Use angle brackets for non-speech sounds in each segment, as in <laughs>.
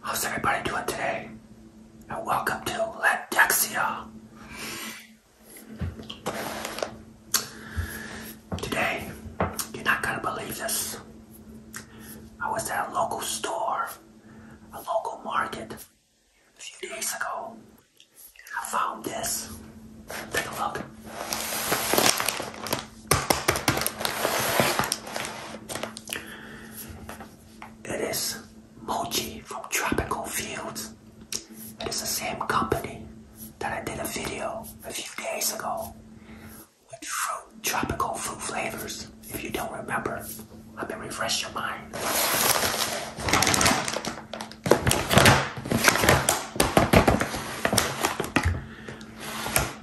How's everybody doing today? And welcome to Latexia. Today, you're not gonna believe this. I was at a local store, a local market, a few days ago, I found this. Take a look. It is Mochi from Tropical Fields. It is the same company that I did a video a few days ago with fruit, tropical fruit flavors. If you don't remember, let me refresh your mind.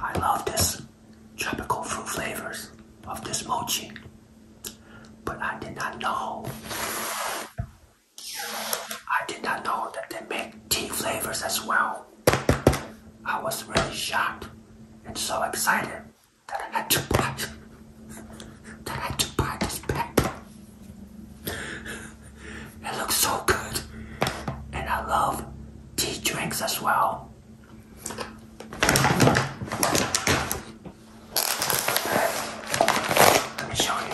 I love this tropical fruit flavors of this mochi, but I did not know. I did not know that they make tea flavors as well. I was really shocked and so excited that I had to buy that I had to buy this pack. It looks so good and I love tea drinks as well. Let me show you.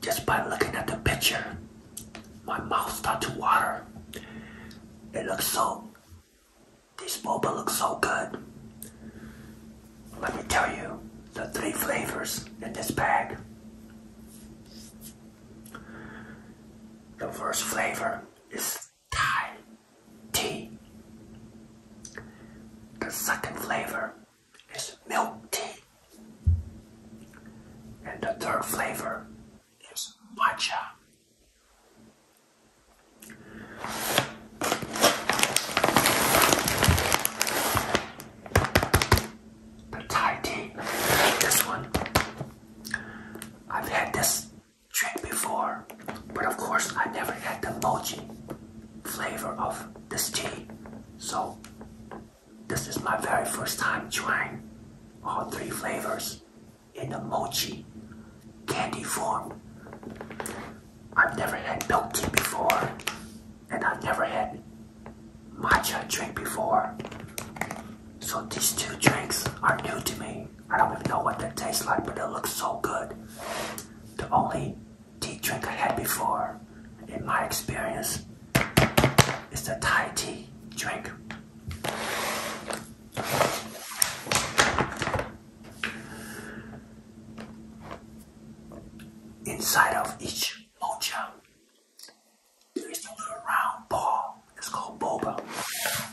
Just by looking at the picture, my mouth starts to water. It looks so, this bubble looks so good. Let me tell you the three flavors in this bag. The first flavor is Thai tea. The second flavor is milk tea. And the third flavor is matcha. The Thai tea, this one, I've had this drink before, but of course I never had the mochi flavor of this tea. So this is my very first time trying all three flavors in the mochi candy form. I've never had milk tea before, and I've never had matcha drink before. So these two drinks are new to me. I don't even know what that tastes like, but it looks so good. The only tea drink I had before, in my experience, is the Thai tea drink. Inside of each mocha, there is a little round ball. It's called boba.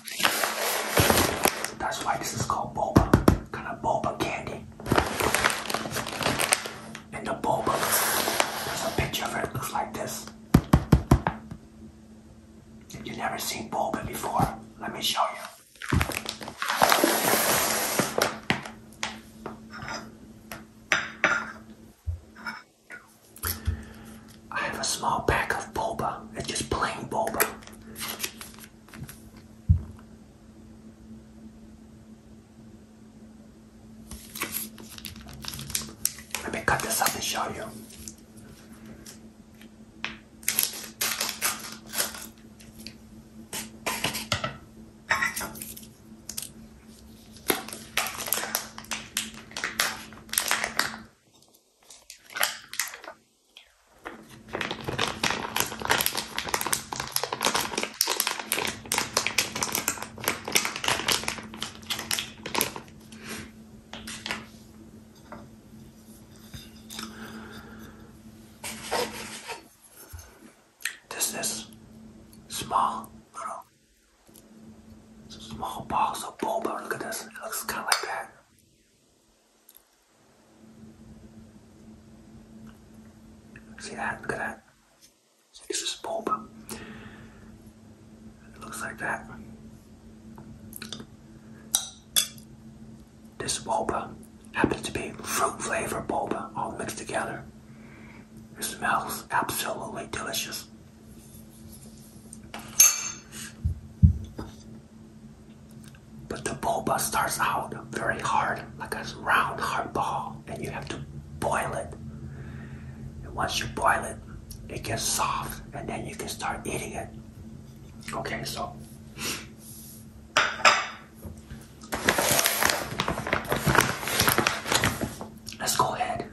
That's why this is called boba, kind of boba candy. And the boba, there's a picture of it, looks like this. If you've never seen boba before, let me show you. I have a small pack of boba. It's just plain boba. Let me cut this up and show you. This is small It's a small box of bubble. Look at this. It looks kind of like that. See that? Look at that. It's just bulb. It looks like that. This boba happens to be fruit flavor boba all mixed together. It smells absolutely delicious. But the boba starts out very hard, like a round hard ball, and you have to boil it. And once you boil it, it gets soft, and then you can start eating it. Okay, so. Let's go ahead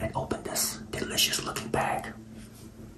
and open this delicious looking bag.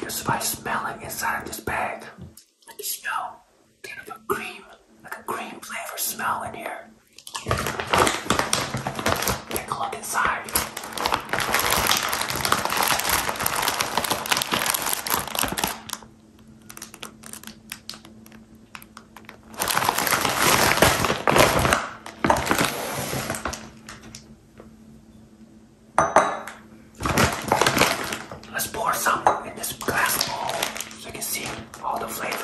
Just by smelling inside of this bag, I can smell kind of a cream, like a cream flavor smell in here. Take a look inside. Let's pour some in this glass bowl so you can see all the flavors.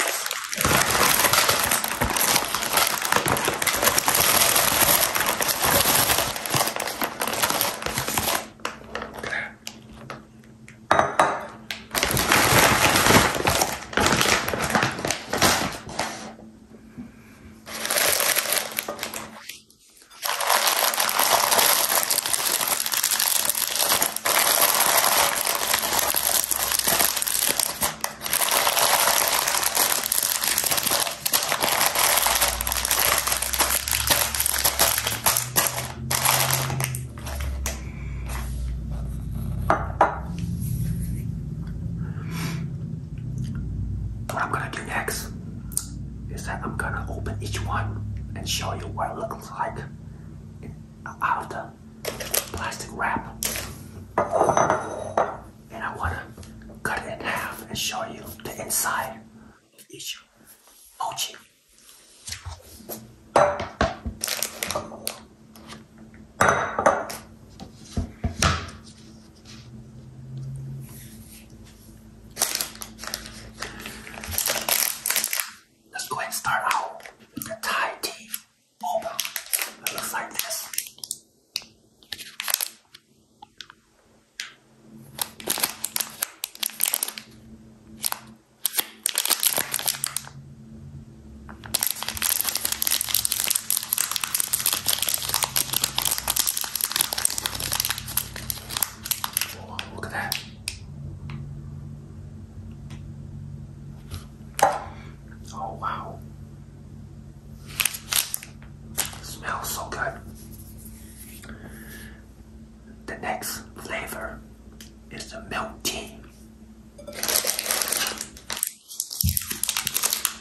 What I'm gonna do next is that I'm gonna open each one and show you what it looks like out of the plastic wrap. And I wanna cut it in half and show you the inside of each mochi. Let's go ahead and start out the Thai tea It looks like this look at that. Oh wow. smells so good. The next flavor is the milk tea.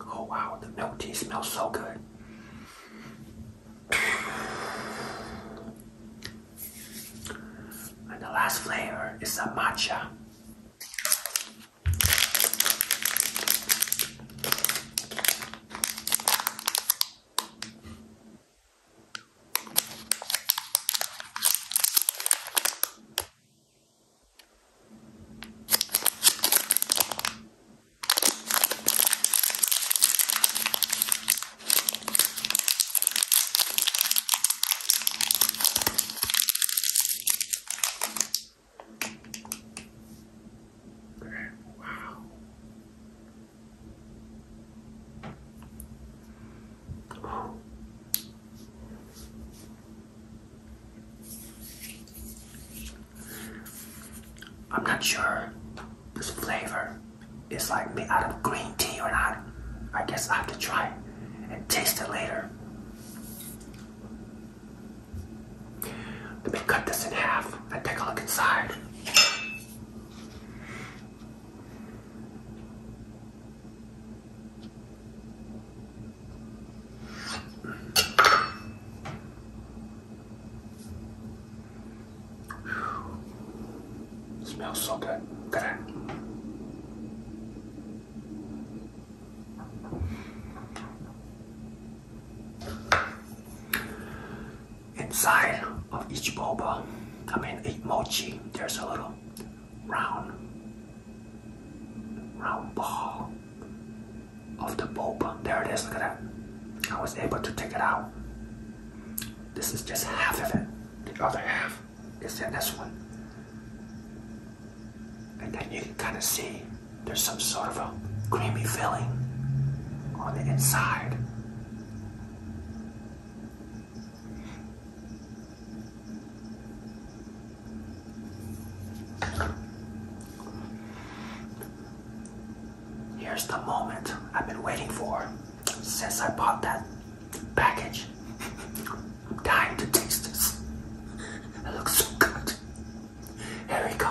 Oh wow, the milk tea smells so good. And the last flavor is a matcha. Wow. Oh. I'm not sure this flavor is like made out of green tea or not. I guess I have to try it and taste it later. Let me cut this in half and take a look inside smells so good. Look Inside of each boba, uh, I mean each mochi, there's a little round round ball of the bulb. There it is, look at that. I was able to take it out. This is just half of it. The other half is in this one. And then you can kind of see there's some sort of a creamy filling on the inside. Here's the moment I've been waiting for since I bought that package. I'm dying to taste this. It looks so good. Here we go.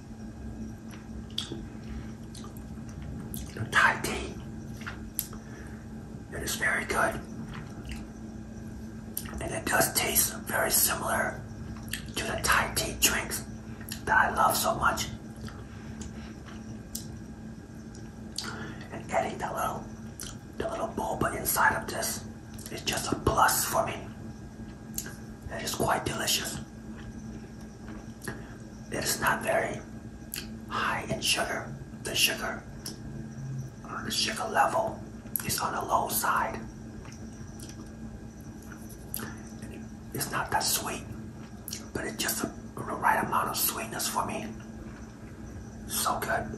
Thai tea. It is very good. And it does taste very similar to the Thai tea drinks that I love so much. And getting the little the little bulb inside of this is just a plus for me. It is quite delicious. It is not very high in sugar. The sugar, uh, the sugar level is on the low side. It's not that sweet, but it's just the right amount of sweetness for me. So good.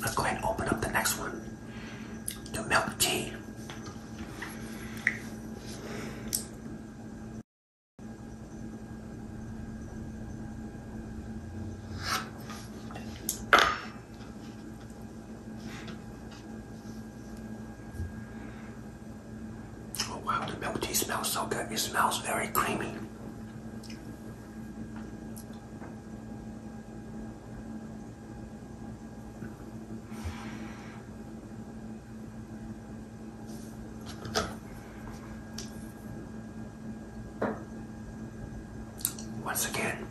Let's go ahead and open up the next one. The milk tea. Oh wow, the milk tea smells so good. It smells very creamy. Once again,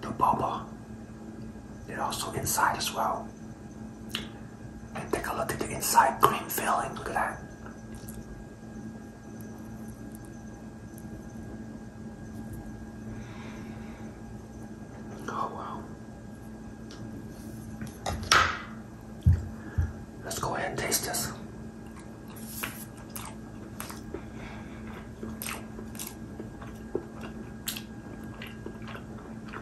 the boba, it also inside as well and take a look at the inside green filling. Look at that. Oh wow. Let's go ahead and taste this.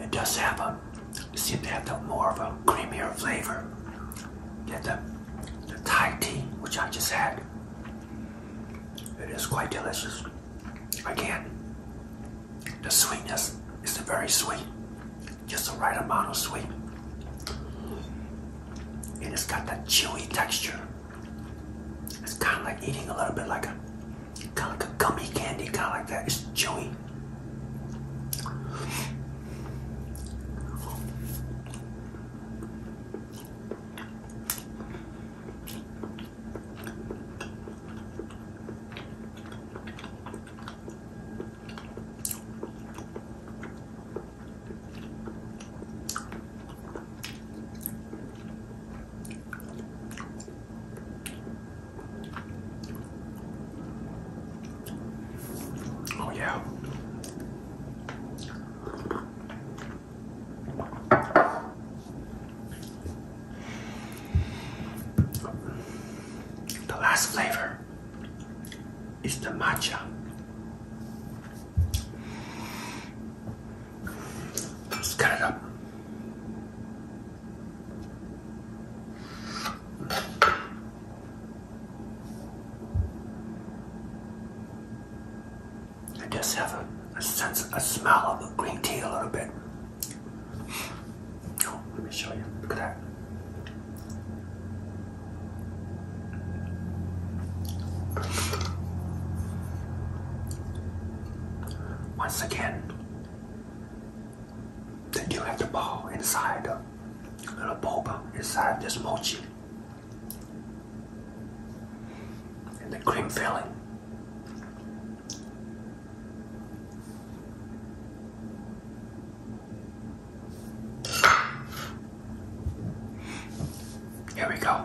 It does have a seem to have the more of a creamier flavor than the, the Thai tea which I just had. It is quite delicious. Again, the sweetness is very sweet, just the right amount of sweet. And it's got that chewy texture. It's kind of like eating a little bit like a kind of like a gummy candy, kind of like that. It's chewy. Oh, yeah. The last flavor is the matcha let cut it up. I just have a, sense, a smell of green tea a little bit. Oh, let me show you. Look at that. Once again, then you have the ball inside the little boba inside this mochi. And the cream filling. Here we go.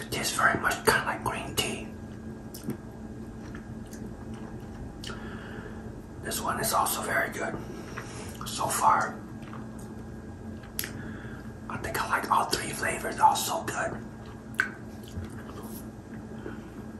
It tastes very much kind of like green tea. This one is also very good so far. I think I like all three flavors, all so good.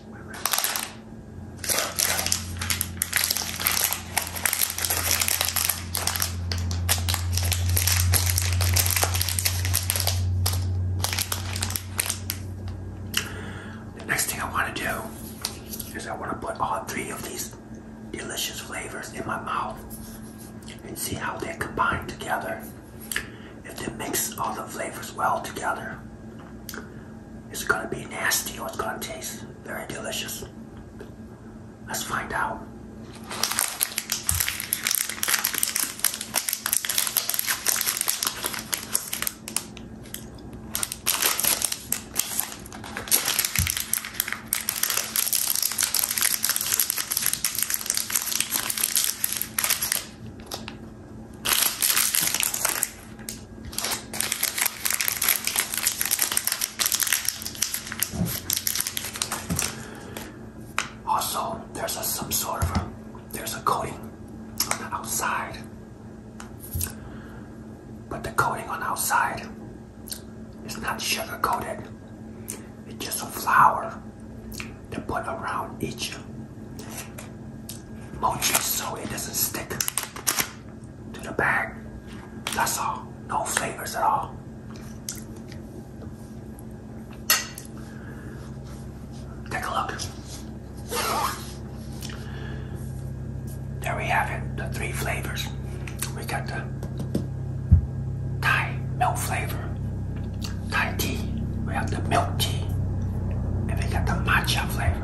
The next thing I want to do is I want to put all three of these delicious flavors in my mouth and see how they combine together. If they mix all the flavors well together, it's gonna be nasty or it's gonna taste very delicious. Let's find out. Also, there's some sort of a, there's a coating on the outside, but the coating on outside is not sugar coated. It's just a flour they put around each mochi so it doesn't stick to the bag. That's all. No flavors at all. Take a look. There we have it, the three flavors. We got the Thai milk flavor, Thai tea, we have the milk tea, and we got the matcha flavor.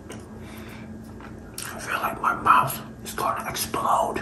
I feel like my mouth is going to explode.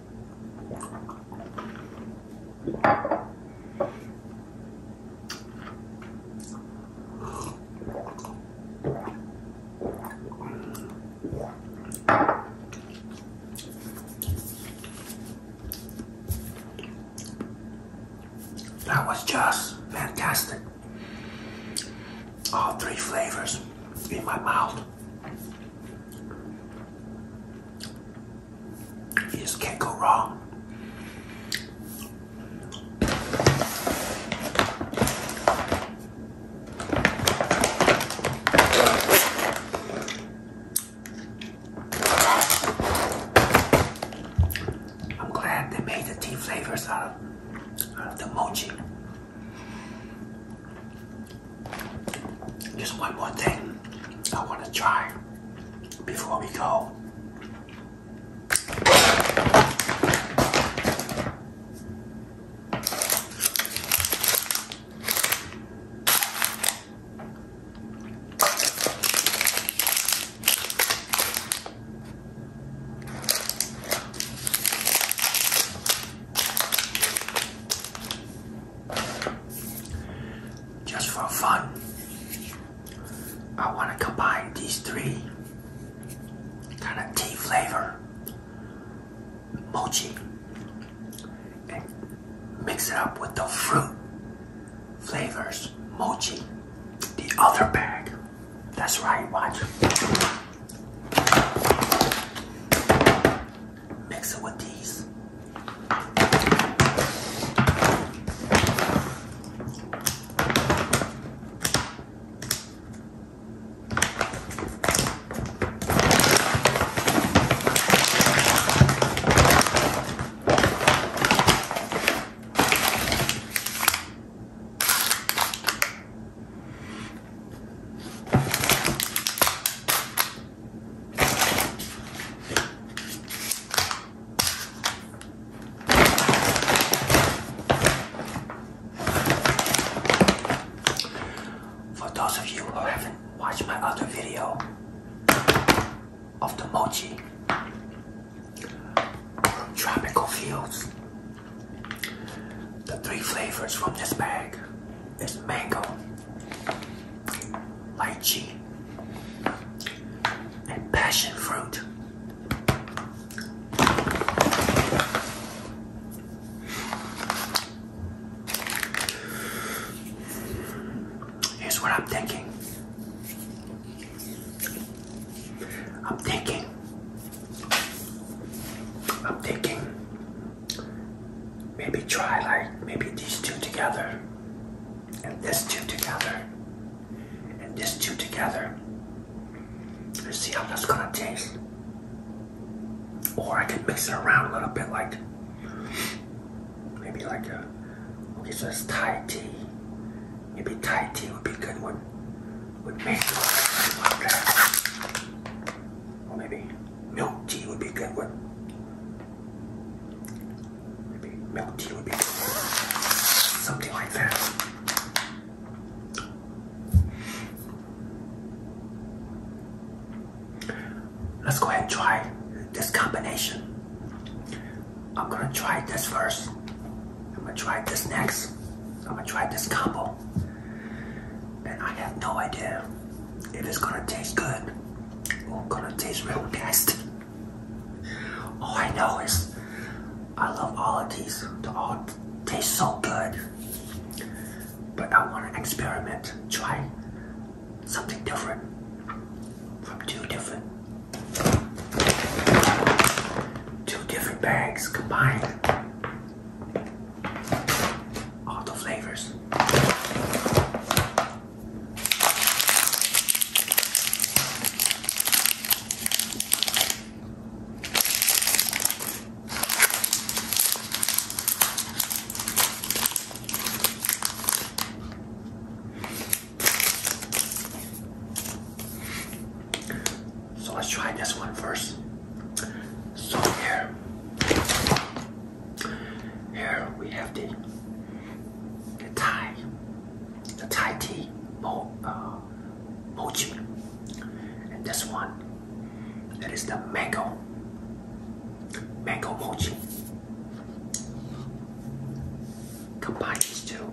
That was just fantastic. All three flavors in my mouth. You just can't go wrong. I'm glad they made the tea flavors out of, the mochi. Just one more thing I want to try before we go. Just for fun, I want to combine these three kind of tea flavor mochi and mix it up with the fruit flavors mochi, the other bag. That's right, watch. Mix it with these. For those of you who haven't watched my other video of the mochi from Tropical Fields, the three flavors from this bag is mango lychee, and passion fruit. Here's what I'm thinking. I'm thinking. I'm thinking maybe try like maybe these two together and this two together and this two together and see how that's gonna taste or I can mix it around a little bit like maybe like a okay so it's Thai tea maybe Thai tea would be a good one with mango or maybe Milk tea would be a good one. Maybe milk tea would be Something like that. Let's go ahead and try this combination. I'm gonna try this first. I'm gonna try this next. I'm gonna try this combo. And I have no idea it is gonna taste good. It's oh, gonna taste real nasty. All I know is I love all of these. They all taste so good. But I wanna experiment, try something different from two different two different bags combined. All the flavors. So let's try this one first. So here. Here we have the, the Thai, the Thai tea mo, uh, mochi, and this one that is the mango, mango mochi. Combine these two.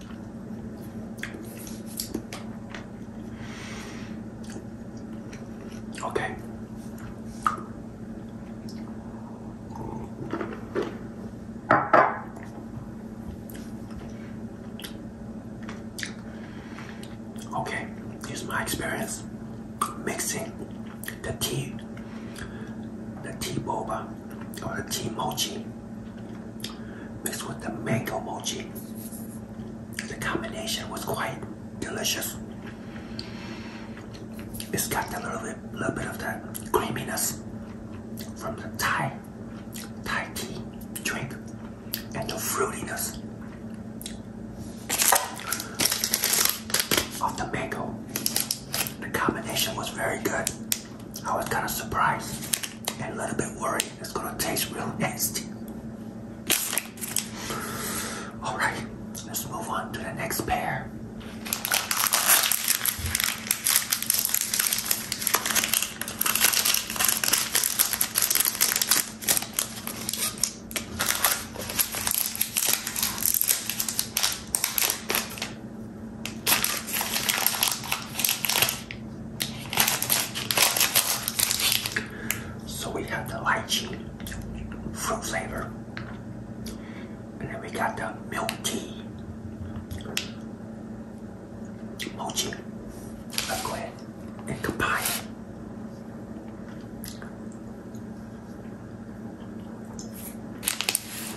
Okay. Okay, here's my experience mixing the tea, the tea boba or the tea mochi mixed with the mango mochi. The combination was quite delicious. It's got a little bit, little bit of that creaminess from the Thai, Thai tea drink and the fruitiness of the mango. The combination was very good. I was kind of surprised and a little bit worried it's gonna taste real nasty. All right, let's move on to the next pair. So we have the lychee fruit flavor. And then we got the milk tea. Mochi. Let's go ahead and combine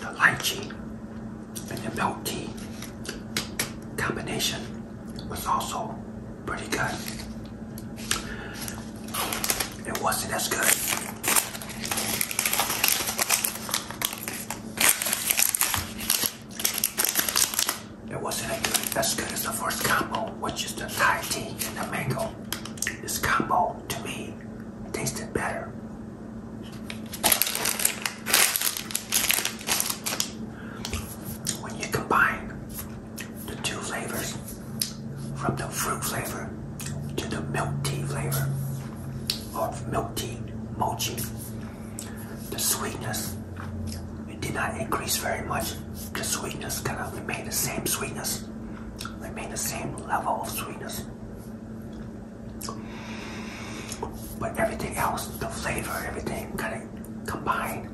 The lychee and the milk tea combination was also pretty good. It wasn't as good. It wasn't as good as the first combo, which is the Thai tea and the mango. This combo, to me, tasted better. When you combine the two flavors, from the fruit flavor to the milk tea flavor, or milk tea mochi, the sweetness it did not increase very much. The sweetness kind of remained the same sweetness, remained the same level of sweetness. But everything else, the flavor, everything kind of combine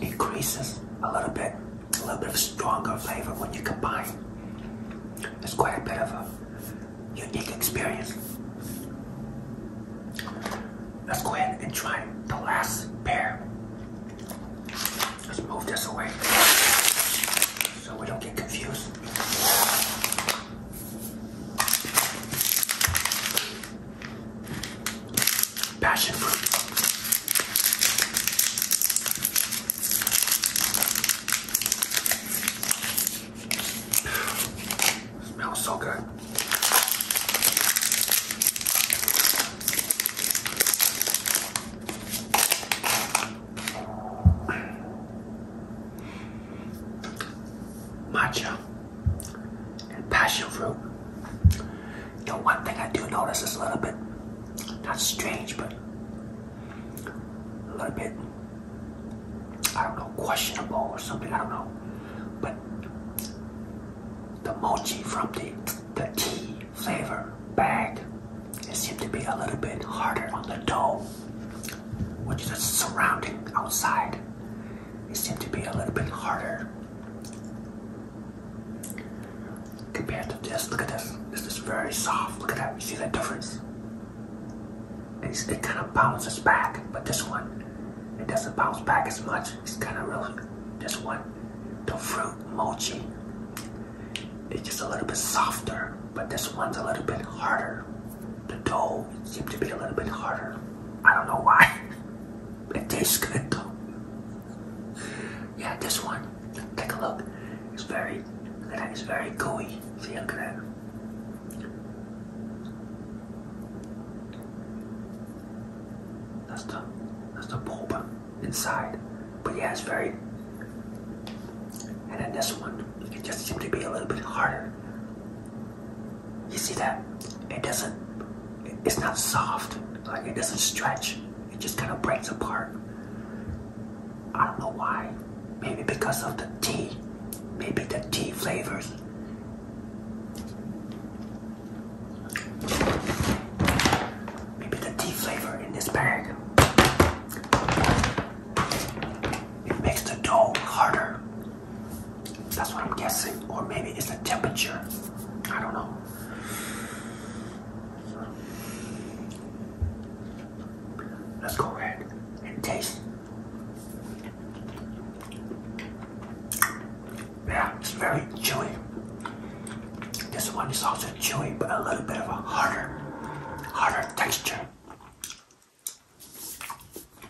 increases a little bit, a little bit of stronger flavor when you combine. It's quite a bit of a unique experience. Let's go ahead and try the last pair. Let's move this away so we don't get confused. Passion fruit. Smells so good. Matcha and passion fruit. The one thing I do notice is a little bit, not strange, but a little bit, I don't know, questionable or something, I don't know. But the mochi from the, the tea flavor bag, it seemed to be a little bit harder on the dough, which is the surrounding outside. They seem to be a little bit harder compared to this. Look at this. This is very soft. Look at that. You see the difference? it kind of bounces back, but this one, it doesn't bounce back as much. It's kind of real. this one, the fruit mochi. It's just a little bit softer, but this one's a little bit harder. The dough seems to be a little bit harder. I don't know why. <laughs> It tastes good though. Yeah, this one. Take a look. It's very, It's very gooey. See, look at that. That's the, that's the bulb inside. But yeah, it's very. And then this one, it just seems to be a little bit harder. You see that? It doesn't, it's not soft. Like it doesn't stretch. It just kind of breaks apart. I don't know why. Maybe because of the tea. Maybe the tea flavors. Maybe the tea flavor in this bag. It makes the dough harder. That's what I'm guessing. Or maybe it's the temperature. I don't know. Let's go ahead and taste. Yeah, it's very chewy. This one is also chewy, but a little bit of a harder, harder texture.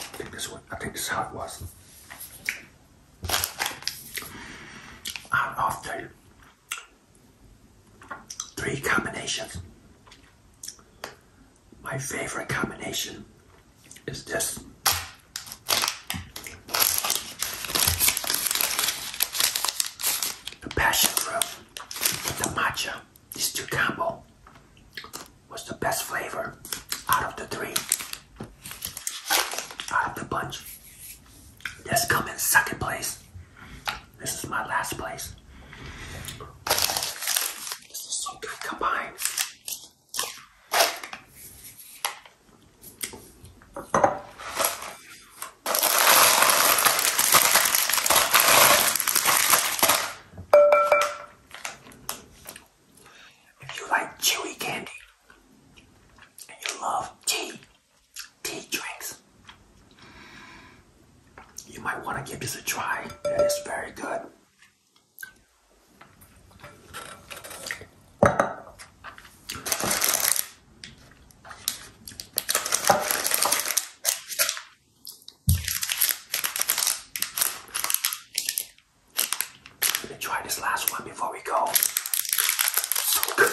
I think this one, I think this is how it was. And after three combinations, my favorite combination is this. The passion fruit with the matcha, this two combo, was the best flavor out of the three, out of the bunch. That's coming second place. This is my last place. This is so good combined. If you like chewy candy and you love tea, tea drinks, you might want to give this a try. It is very good. Let me try this last one before we go. So good.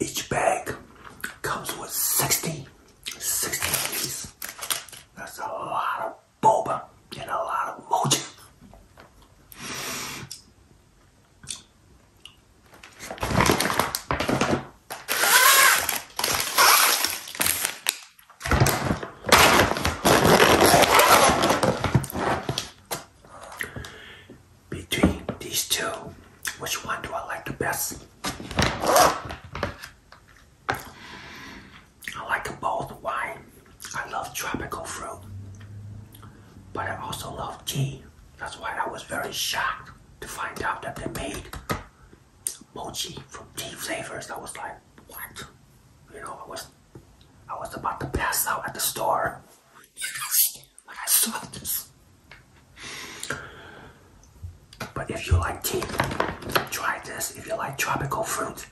Each bag comes with 60 Sixteen pieces. That's a lot of boba and a lot of mochi. Between these two, which one do I like the best? I like both wine. I love tropical fruit, but I also love tea. That's why I was very shocked to find out that they made mochi from tea flavors. I was like, what? You know, I was I was about to pass out at the store. But I saw this. But if you like tea, try this. If you like tropical fruit,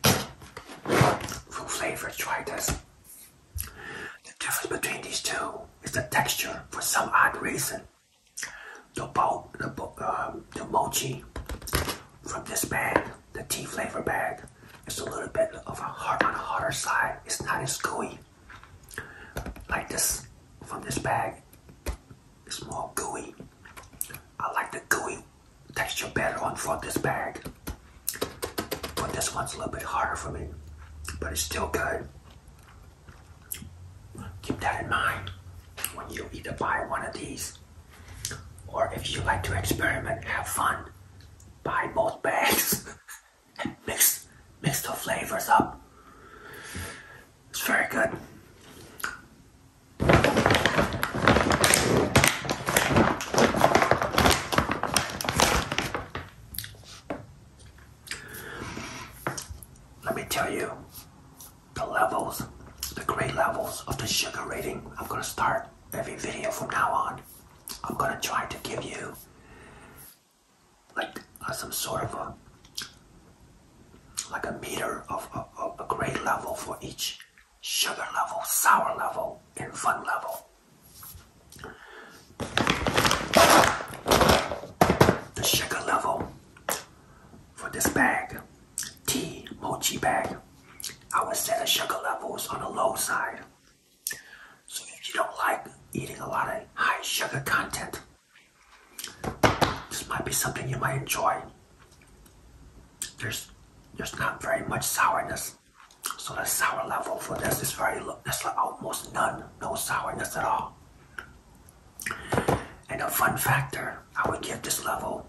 fruit flavor, try this. The difference between these two is the texture for some odd reason. The, um, mochi from this bag, the tea flavor bag, is a little bit of a hard on the harder side. It's not as gooey like this from this bag. It's more gooey. I like the gooey texture better on from this bag. But this one's a little bit harder for me. But it's still good. Keep that in mind when you either buy one of these or if you like to experiment, have fun, buy both bags <laughs> and mix mix the flavors up. It's very good. Let me tell you the levels, the great levels of the sugar rating. I'm going to start every video from now on. I'm going to try to give you like some sort of a like a meter of, a grade level for each sugar level, sour level, and fun level. The sugar level for this bag, tea mochi bag, I would set the sugar levels on the low side. So if you don't like eating a lot of high sugar content, this might be something you might enjoy. There's there's not very much sourness, so the sour level for this is very low. There's almost none, no sourness at all. And a fun factor, I would give this level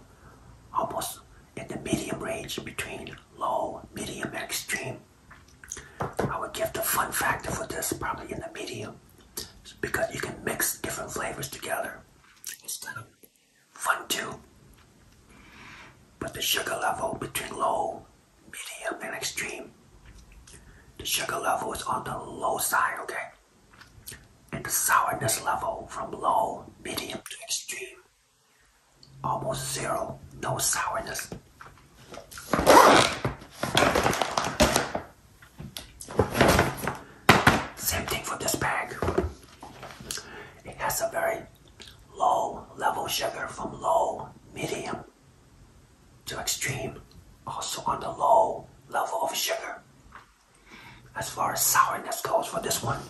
almost in the medium range between low, medium, and extreme. I would give the fun factor for this probably in the medium because you can mix different flavors together instead of one, two. But the sugar level between low, medium, and extreme, the sugar level is on the low side, okay? And the sourness level from low, medium to extreme, almost zero, no sourness. Same thing for this bag. It has a very low level sugar from low, medium to extreme. Also on the low level of sugar. As far as sourness goes for this one,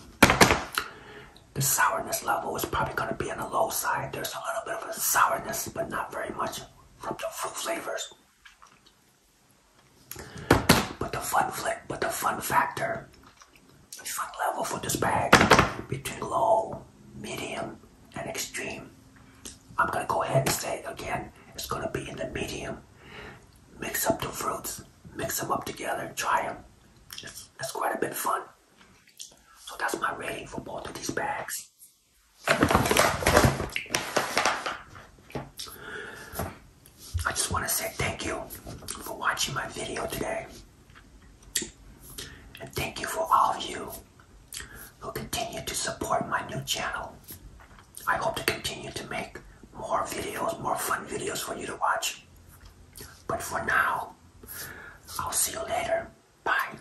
the sourness level is probably going to be on the low side. There's a little bit of a sourness, but not very much from the fruit flavors. But the fun flick, but the fun factor, fun level for this bag between low, medium, and extreme. I'm gonna go ahead and say again. It's gonna be in the medium. Mix up the fruits, mix them up together, try them. It's, it's quite a bit fun. So that's my rating for both of these bags. I just want to say thank you for watching my video today. And thank you for all of you who continue to support my new channel. I hope to continue to make more videos, more fun videos for you to watch. But for now, I'll see you later. Bye.